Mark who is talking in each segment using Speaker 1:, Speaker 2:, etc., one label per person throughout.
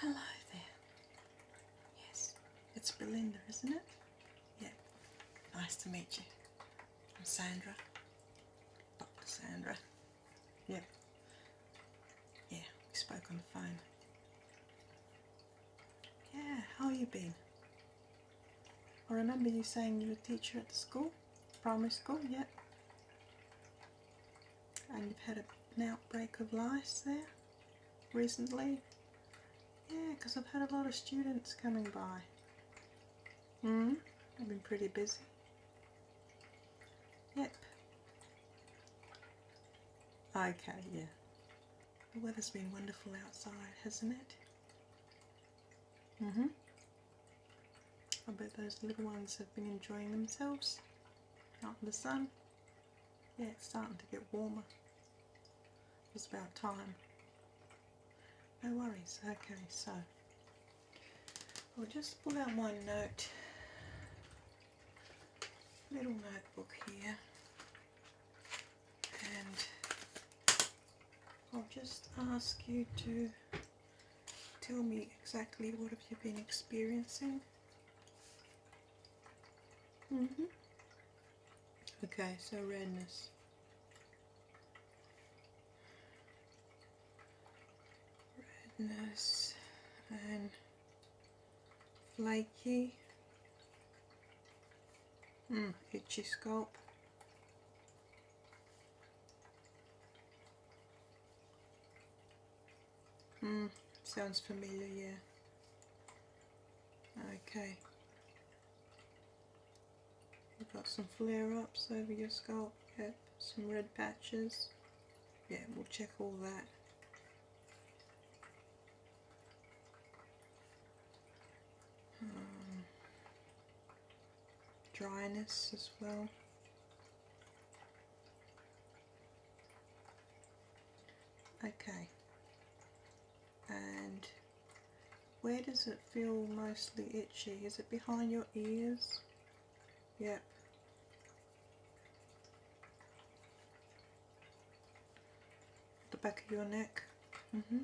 Speaker 1: Hello there. Yes, it's Belinda, isn't it? Yep. Nice to meet you. I'm Sandra. Dr. Sandra. Yep. Yeah, we spoke on the phone. Yeah, how you been? I remember you saying you were a teacher at the school? Primary school, yep and you've had an outbreak of lice there recently? Yeah, because I've had a lot of students coming by. Hmm, I've been pretty busy. Yep. I've had yeah. The weather's been wonderful outside, hasn't it? Mm-hmm. I bet those little ones have been enjoying themselves out in the sun. Yeah, it's starting to get warmer. It's about time. No worries. Okay, so I'll just pull out one note, little notebook here, and I'll just ask you to tell me exactly what have you been experiencing Mm -hmm. Okay, so redness. Redness and flaky. Mm, itchy scalp. Hmm, sounds familiar, yeah. Okay. You've got some flare-ups over your scalp, yep. Some red patches. Yeah, we'll check all that. Um, dryness as well okay and where does it feel mostly itchy is it behind your ears yep the back of your neck hmm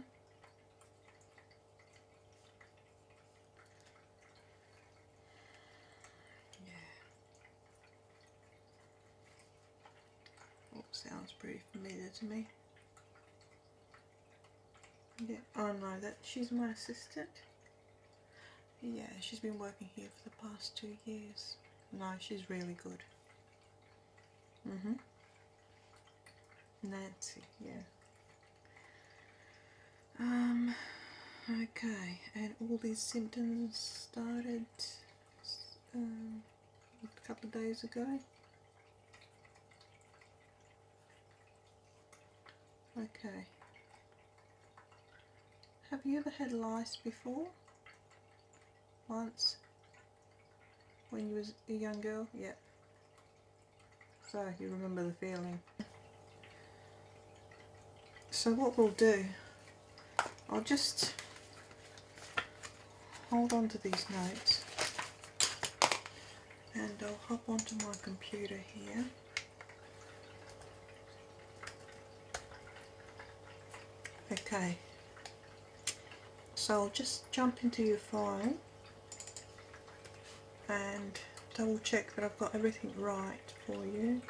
Speaker 1: yeah sounds pretty familiar to me. Yeah, oh no, that she's my assistant. Yeah, she's been working here for the past two years. No, she's really good. Mm-hmm. Nancy, yeah. Um, okay, and all these symptoms started um, a couple of days ago. Okay. Have you ever had lice before? Once? When you was a young girl? Yeah. So, you remember the feeling. So what we'll do, I'll just hold on to these notes and I'll hop onto my computer here. Okay, so I'll just jump into your file and double check that I've got everything right for you.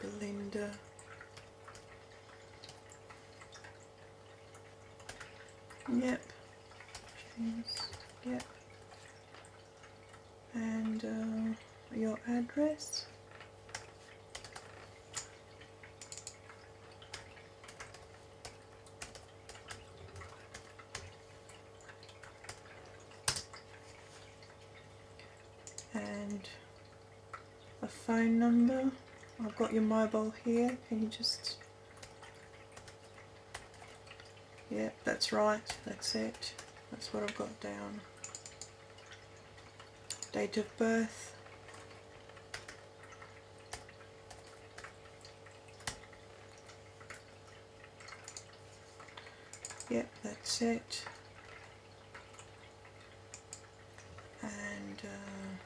Speaker 1: Belinda. Yep. Yep. And uh, your address and a phone number. I've got your mobile here. Can you just... Yep, that's right. That's it. That's what I've got down. Date of birth. Yep, that's it. And uh,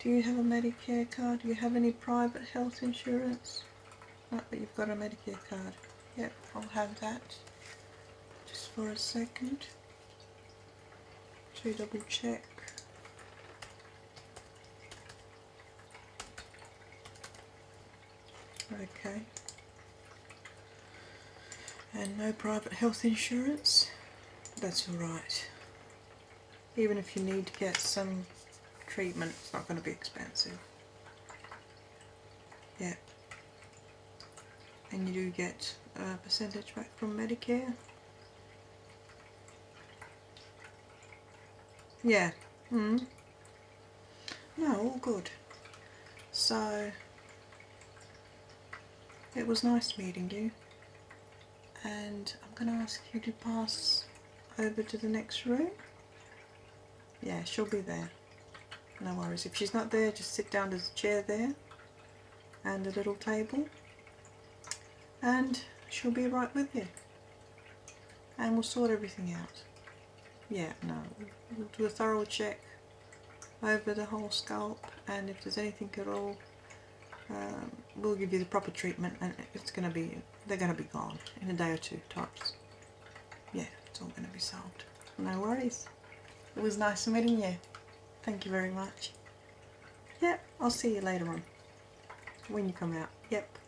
Speaker 1: do you have a Medicare card? Do you have any private health insurance? No, but you've got a Medicare card. Yep, I'll have that. Just for a second to double check okay and no private health insurance that's alright even if you need to get some treatment it's not going to be expensive yeah and you do get a percentage back from Medicare yeah -hmm. No, all good. So, it was nice meeting you. And I'm going to ask you to pass over to the next room. Yeah, she'll be there. No worries. If she's not there, just sit down. There's the chair there and a little table. And she'll be right with you. And we'll sort everything out yeah, no, we'll do a thorough check over the whole scalp and if there's anything at all, um, we'll give you the proper treatment and it's going to be, they're going to be gone in a day or two tops. Yeah, it's all going to be solved. No worries. It was nice meeting you. Thank you very much. Yep, I'll see you later on when you come out. Yep.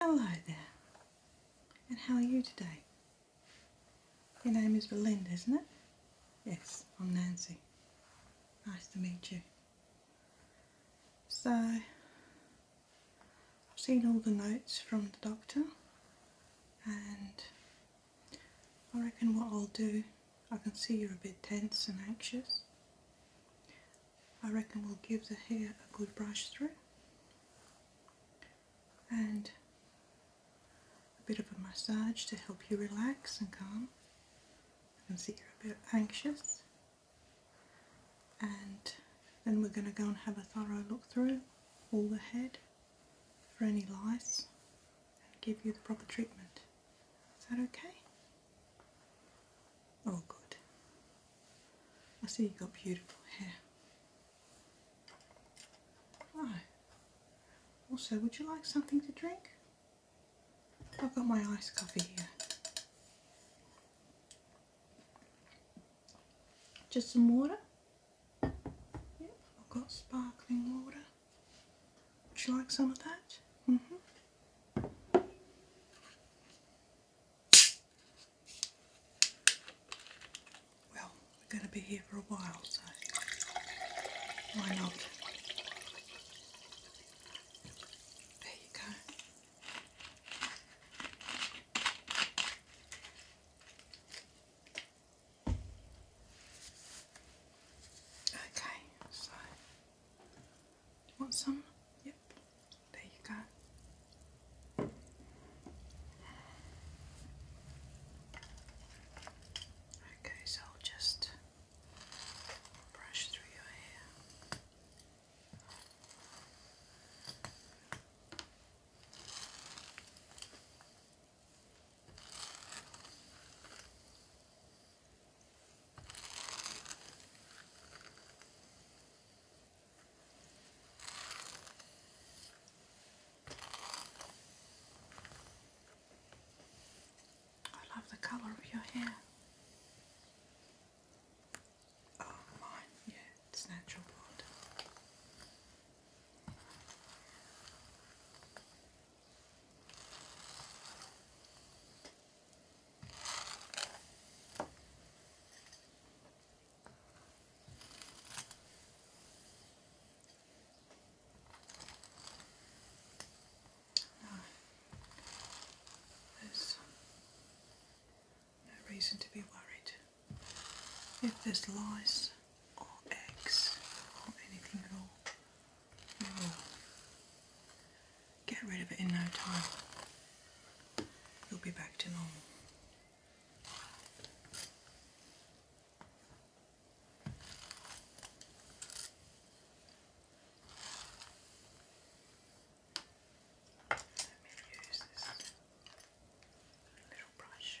Speaker 1: Hello there, and how are you today? Your name is Belinda, isn't it? Yes, I'm Nancy. Nice to meet you. So, I've seen all the notes from the doctor and I reckon what I'll do, I can see you're a bit tense and anxious. I reckon we'll give the hair a good brush through and a bit of a massage to help you relax and calm. I can see you're a bit anxious and then we're going to go and have a thorough look through all the head for any lice and give you the proper treatment. Is that okay? Oh, good. I see you've got beautiful hair. Also, would you like something to drink? I've got my iced coffee here. Just some water. Yep, I've got sparkling water. Would you like some of that? Mm-hmm. Well, we're going to be here for a while, so why not? There you go. Okay, so want some? there you go. Okay, so I'll just brush through your hair. I love the colour of your hair. Oh, mine, yeah, it's natural blonde. No. There's no reason to be worried. If there's lice or eggs or anything at all, get rid of it in no time. You'll be back to normal. Let me use this little brush.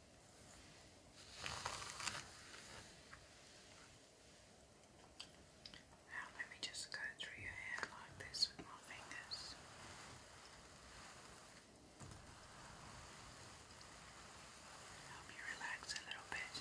Speaker 1: Now let me just go through your hair like this with my fingers. Help you relax a little bit.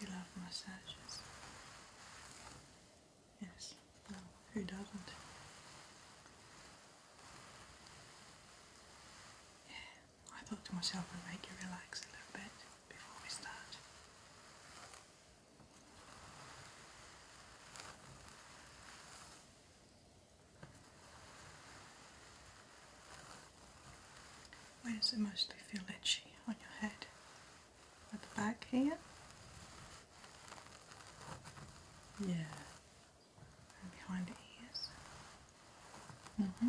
Speaker 1: You love massages? Yes, well, who doesn't? Yeah, I thought to myself I'd make you relax a little bit before we start. Where does it mostly feel itchy? On your head? At the back here? Yeah. behind the ears? hmm.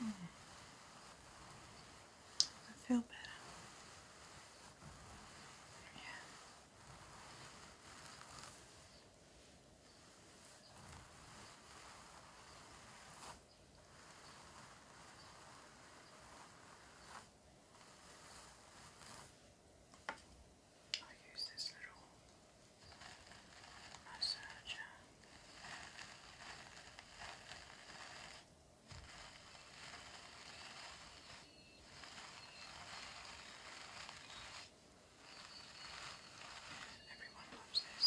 Speaker 1: Hmm. Does it feel better? Yeah. I use this little massager. Everyone loves this.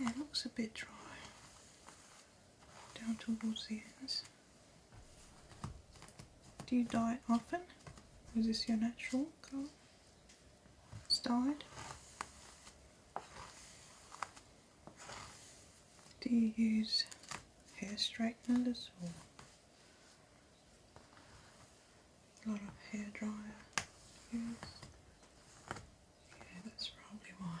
Speaker 1: it looks a bit dry down towards the ends. Do you dye it often? Is this your natural colour? It's dyed. Do you use hair straighteners or a lot of hair dryer Yeah, that's probably why.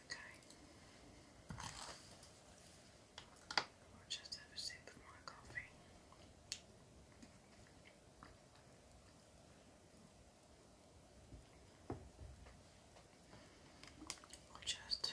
Speaker 1: Okay. I'll just have a sip of my coffee. I'll just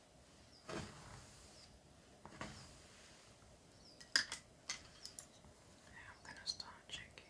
Speaker 1: Now I'm going to start checking.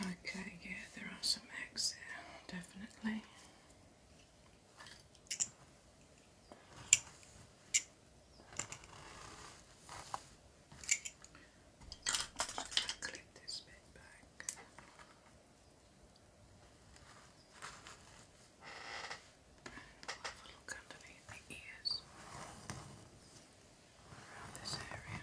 Speaker 1: Okay, yeah, there are some eggs there, definitely. Just this bit back. have a look underneath the ears around this area.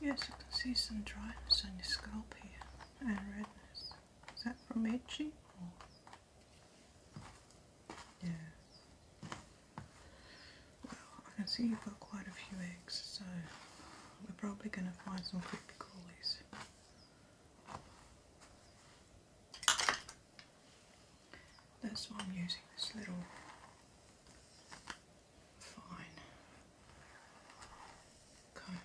Speaker 1: Yes, you can see some dryness on your scalp here and redness. Is that from itching or? Well, I can see you've got quite a few eggs, so we're probably going to find some creepy crawlies. That's why I'm using this little fine comb.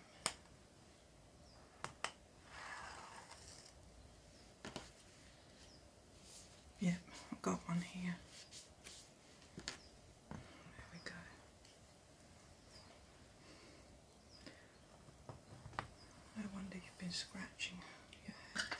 Speaker 1: Yep, I've got one here. There we go. No wonder you've been scratching your head.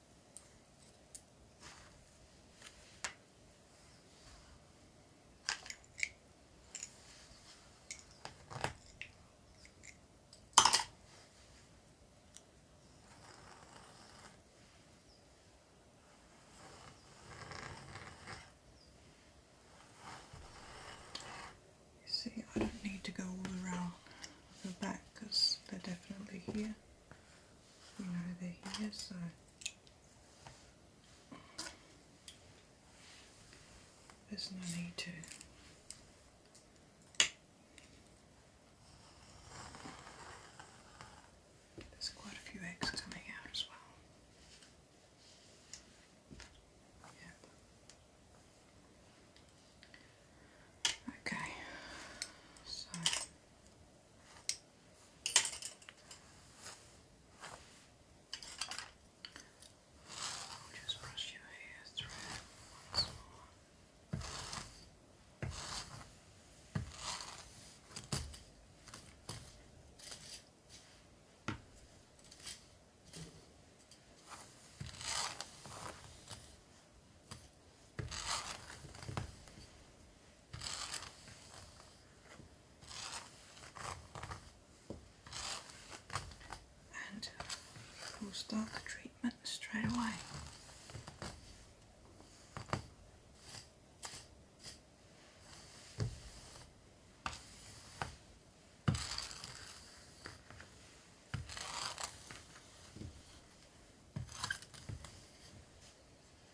Speaker 1: See, I don't need to go all around the back because they're definitely here you they're here, uh, so. There's no need to there's quite a few eggs coming out as well. Yep. Okay. So I'll just brush your hair through once more. Okay. And uh, we'll start the treatment straight away.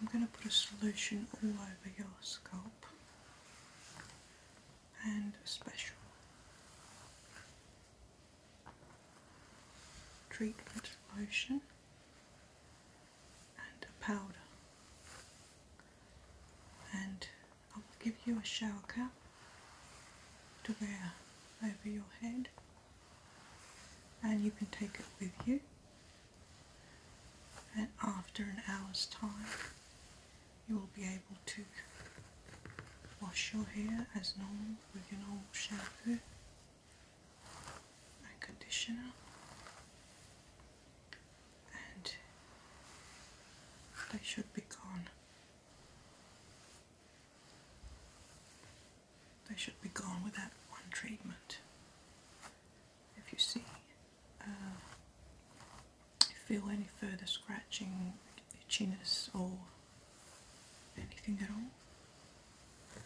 Speaker 1: I'm going to put a solution all over your scalp and a special treatment lotion and a powder. And I will give you a shower cap to wear over your head and you can take it with you and after an hour's time you will be able to wash your hair as normal with your normal shampoo and conditioner and they should be gone they should be gone with that one treatment if you see, uh, feel any further scratching, itchiness, or anything at all,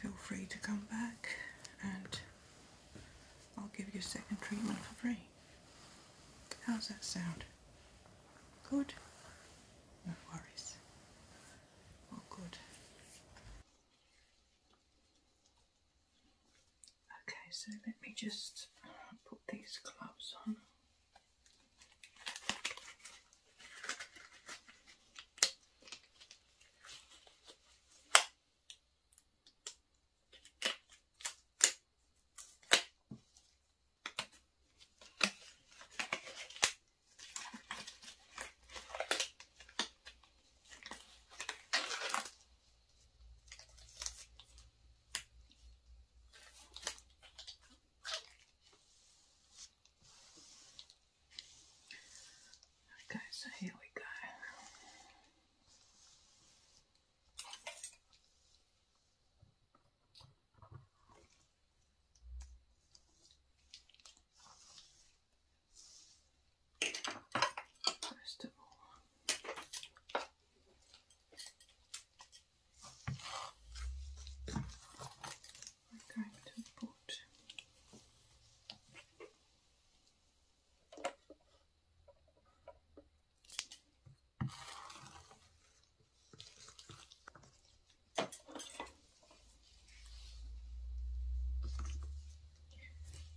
Speaker 1: feel free to come back and I'll give you a second treatment for free. How's that sound? Good? No worries. Well, good. Okay, so let me just put these gloves on. Okay, so here we go. First of all, we're going to put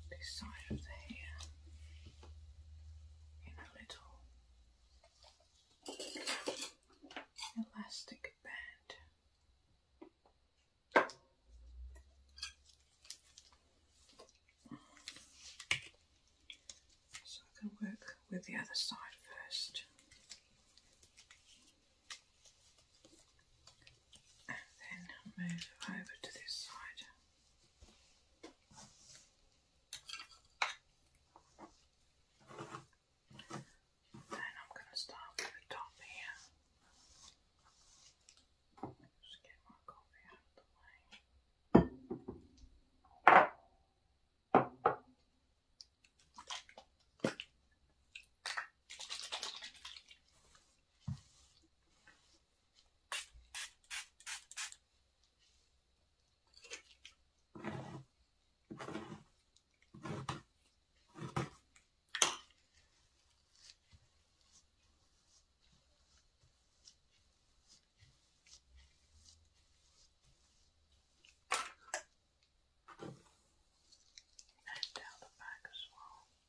Speaker 1: this side of the hair in a little elastic band. So I can work with the other side first and then move over to this side. Then I'm going to start with the top here. Just get my coffee out of the way and down the back as well.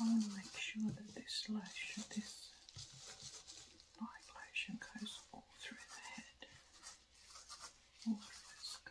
Speaker 1: I want to make sure that this lash, this light lotion goes all through the head, all through the scalp.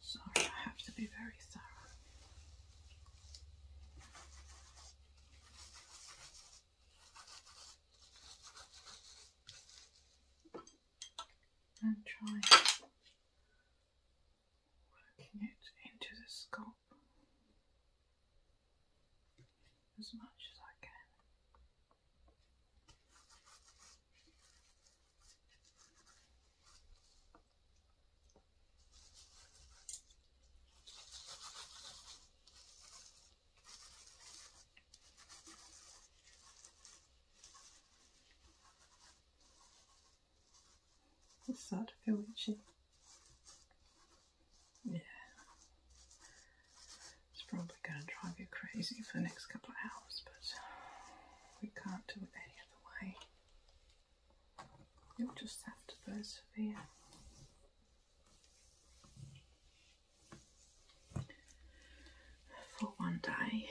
Speaker 1: Sorry, I have to be very thorough and try working it into the scalp as much as I can. It's starting to feel itchy. Yeah. It's probably going to drive you crazy for the next couple of hours, but we can't do it any other way. You'll just have to persevere for one day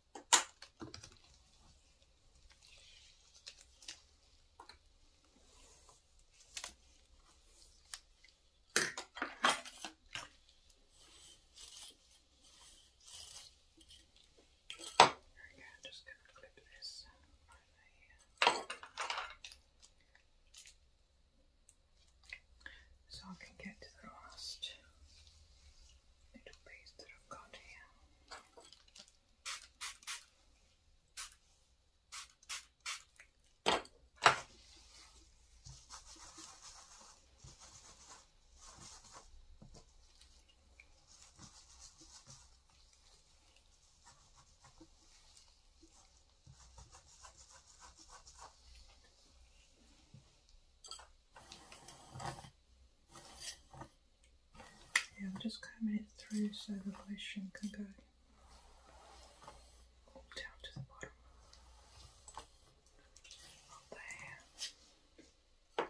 Speaker 1: Okay, i just going to clip this So I can get to the last little piece that I've got here. Yeah, I'm just combing it through so the lotion can go down to the bottom. there.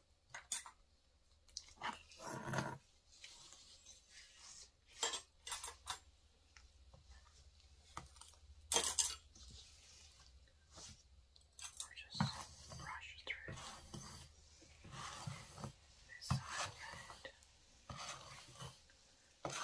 Speaker 1: Or just brush through this side red. Right.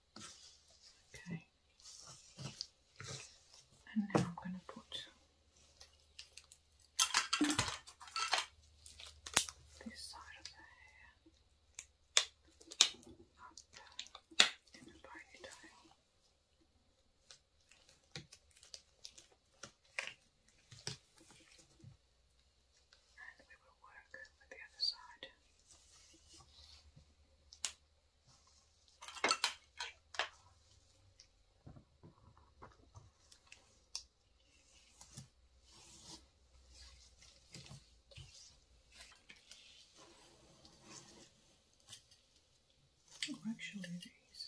Speaker 1: Okay. And now I'm going to put this side of the hair up in a ponytail work with the other side. actually, these.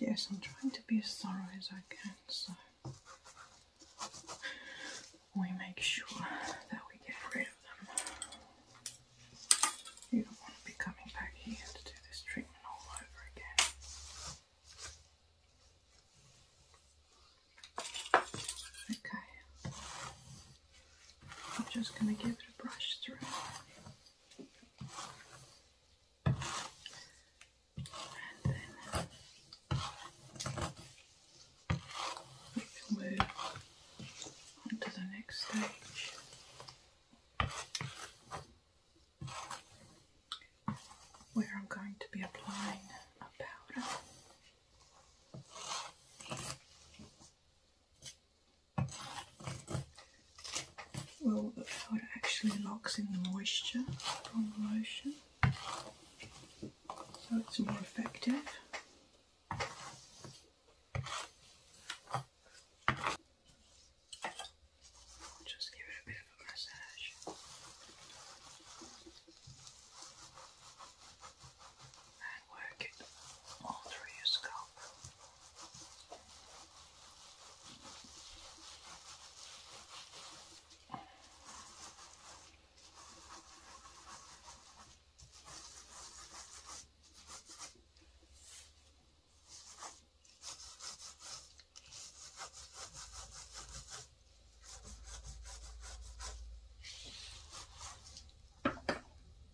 Speaker 1: Yes, I'm trying to be as thorough as I can, so we make sure that we get rid of them. You don't want to be coming back here to do this treatment all over again. Okay, I'm just going to give it a brush through. And then move on the next stage. Where I'm going to be applying a powder. Well, the powder actually locks in the moisture from the lotion, so it's more effective. Just give it a bit of a massage and work it all through your scalp.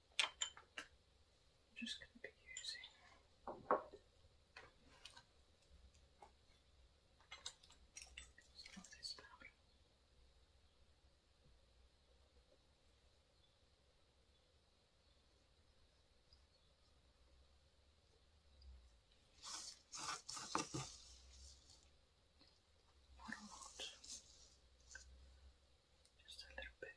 Speaker 1: I'm just going to be using some this powder. Not a lot, just a little bit.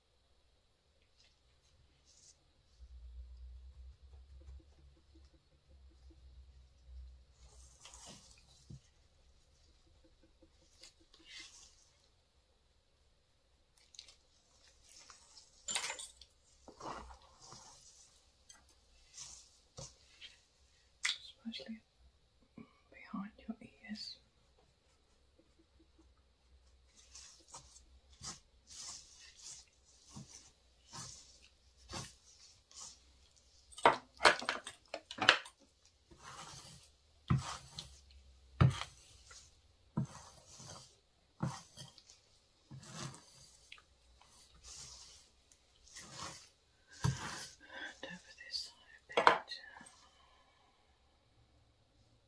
Speaker 1: especially behind your ears. And over this side a bit.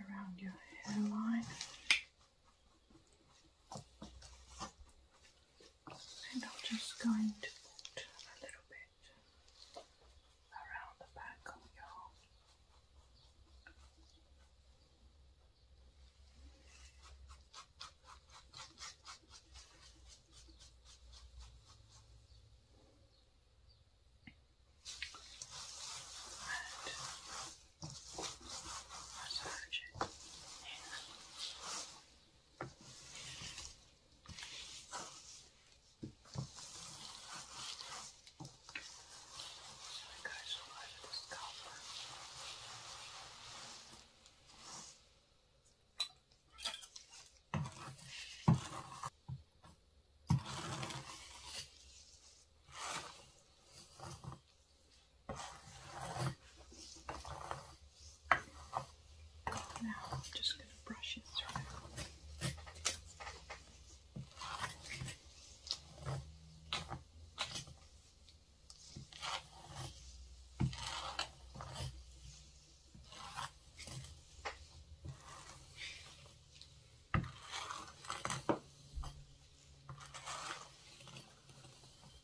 Speaker 1: around your hairline. And I'm just going to put a little bit around the back of your and massage it in so I guys will out this cover. Now I'm just going to brush it through.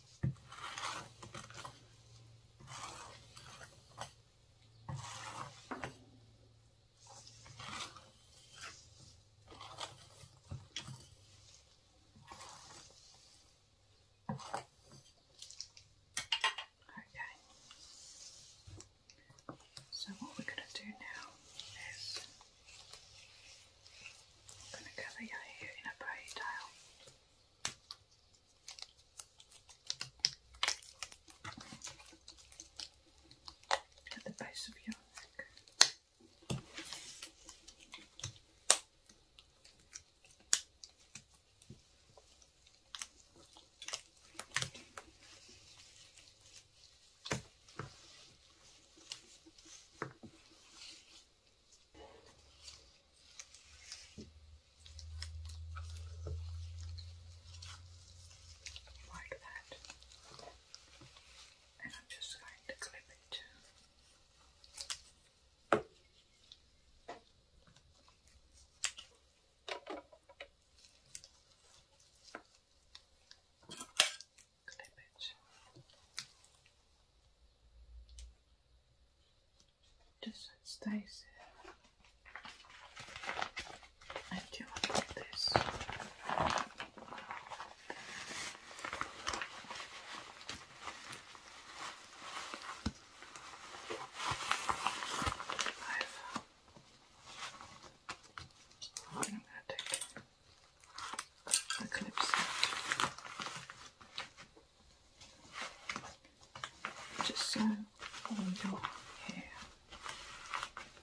Speaker 1: Okay. So what we're going to do now is I'm going to cover your hair in a ponytail. At the base of your neck like that, and I'm just going to clip it. Clip it. Just stay stays here. And you this. I'm going to take the just so all your hair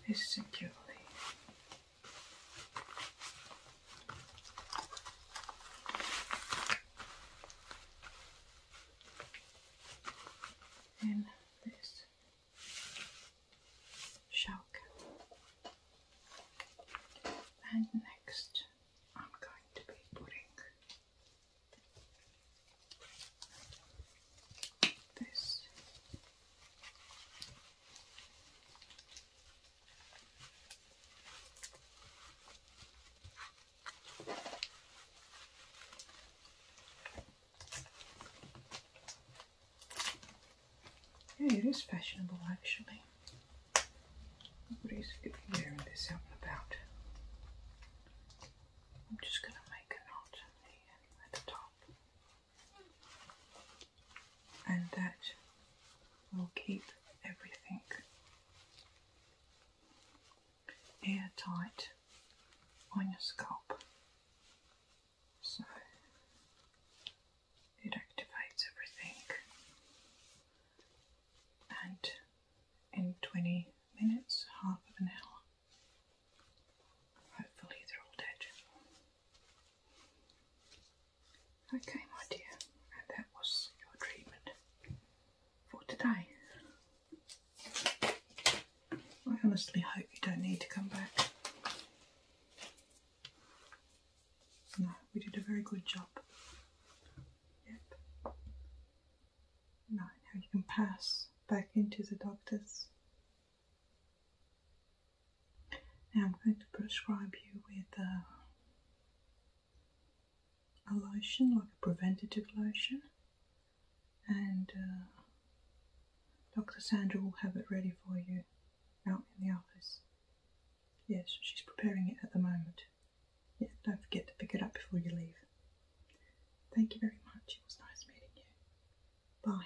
Speaker 1: is securely in this shower And next I'm going to be putting this yeah, it is fashionable actually. Nobody's hearing this out and about. I'm just going to make a knot uh, at the top. And that will keep everything airtight on your scalp. So it activates everything and in 20 minutes, half of an hour, hopefully they're all dead. Okay my dear, and that was your treatment for today. I honestly hope you don't need to come back. No, we did a very good job. Yep. No, now you can pass back into the doctors. Now I'm going to prescribe you with uh, a lotion, like a preventative lotion, and uh, Dr. Sandra will have it ready for you out in the office. Yes, she's preparing it at the moment. Yeah, don't forget to pick it up before you leave. Thank you very much. It was nice meeting you. Bye.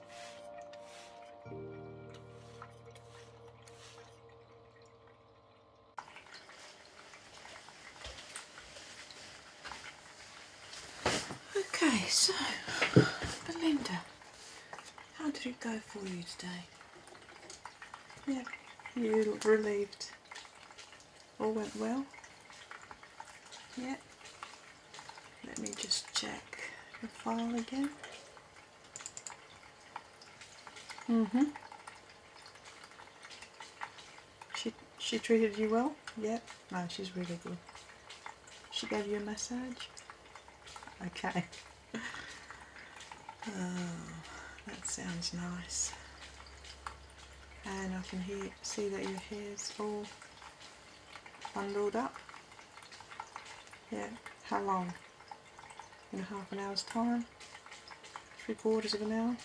Speaker 1: Okay, so Belinda, how did it go for you today? Yeah, you look relieved. All went well? Yeah, let me just check the file again. Mm-hmm. She, she treated you well? Yep. Yeah. No, she's really good. She gave you a massage? Okay. oh, that sounds nice. And I can hear, see that your hair's all bundled up. Yeah, how long? In half an hour's time? Three quarters of an hour?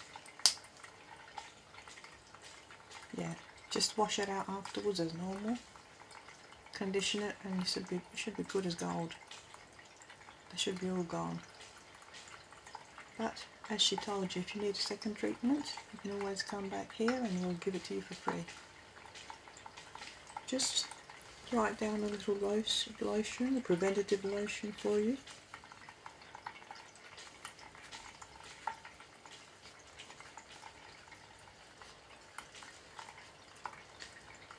Speaker 1: Yeah, just wash it out afterwards as normal. Condition it and it should be, it should be good as gold. They should be all gone. But as she told you, if you need a second treatment, you can always come back here and we'll give it to you for free just write down a little lotion, a preventative lotion for you.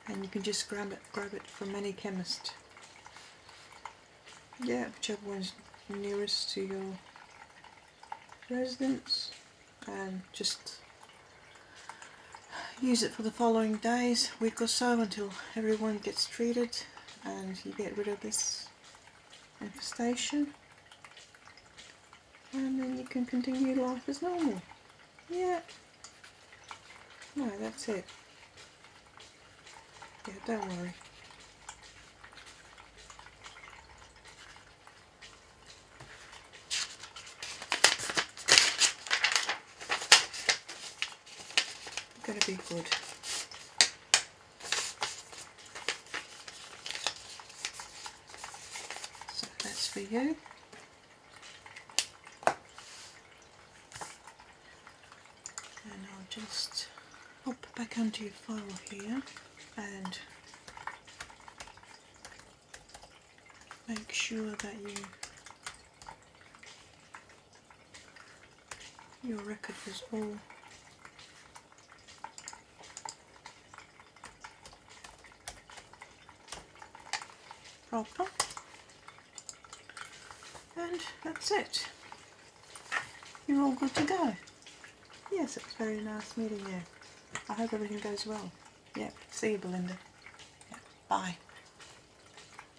Speaker 1: And you can just grab it, grab it from any chemist. Yeah, whichever one's nearest to your Residents, and just use it for the following days, week or so until everyone gets treated and you get rid of this infestation and then you can continue life as normal. Yeah. No, that's it. Yeah, don't worry going to be good. So that's for you. And I'll just pop back onto your file here and make sure that you your record is all proper and that's it you're all good to go Yes, it's very nice meeting you. I hope everything goes well. Yep. See you, Belinda. Yep. Bye.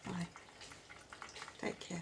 Speaker 1: Bye. Take care.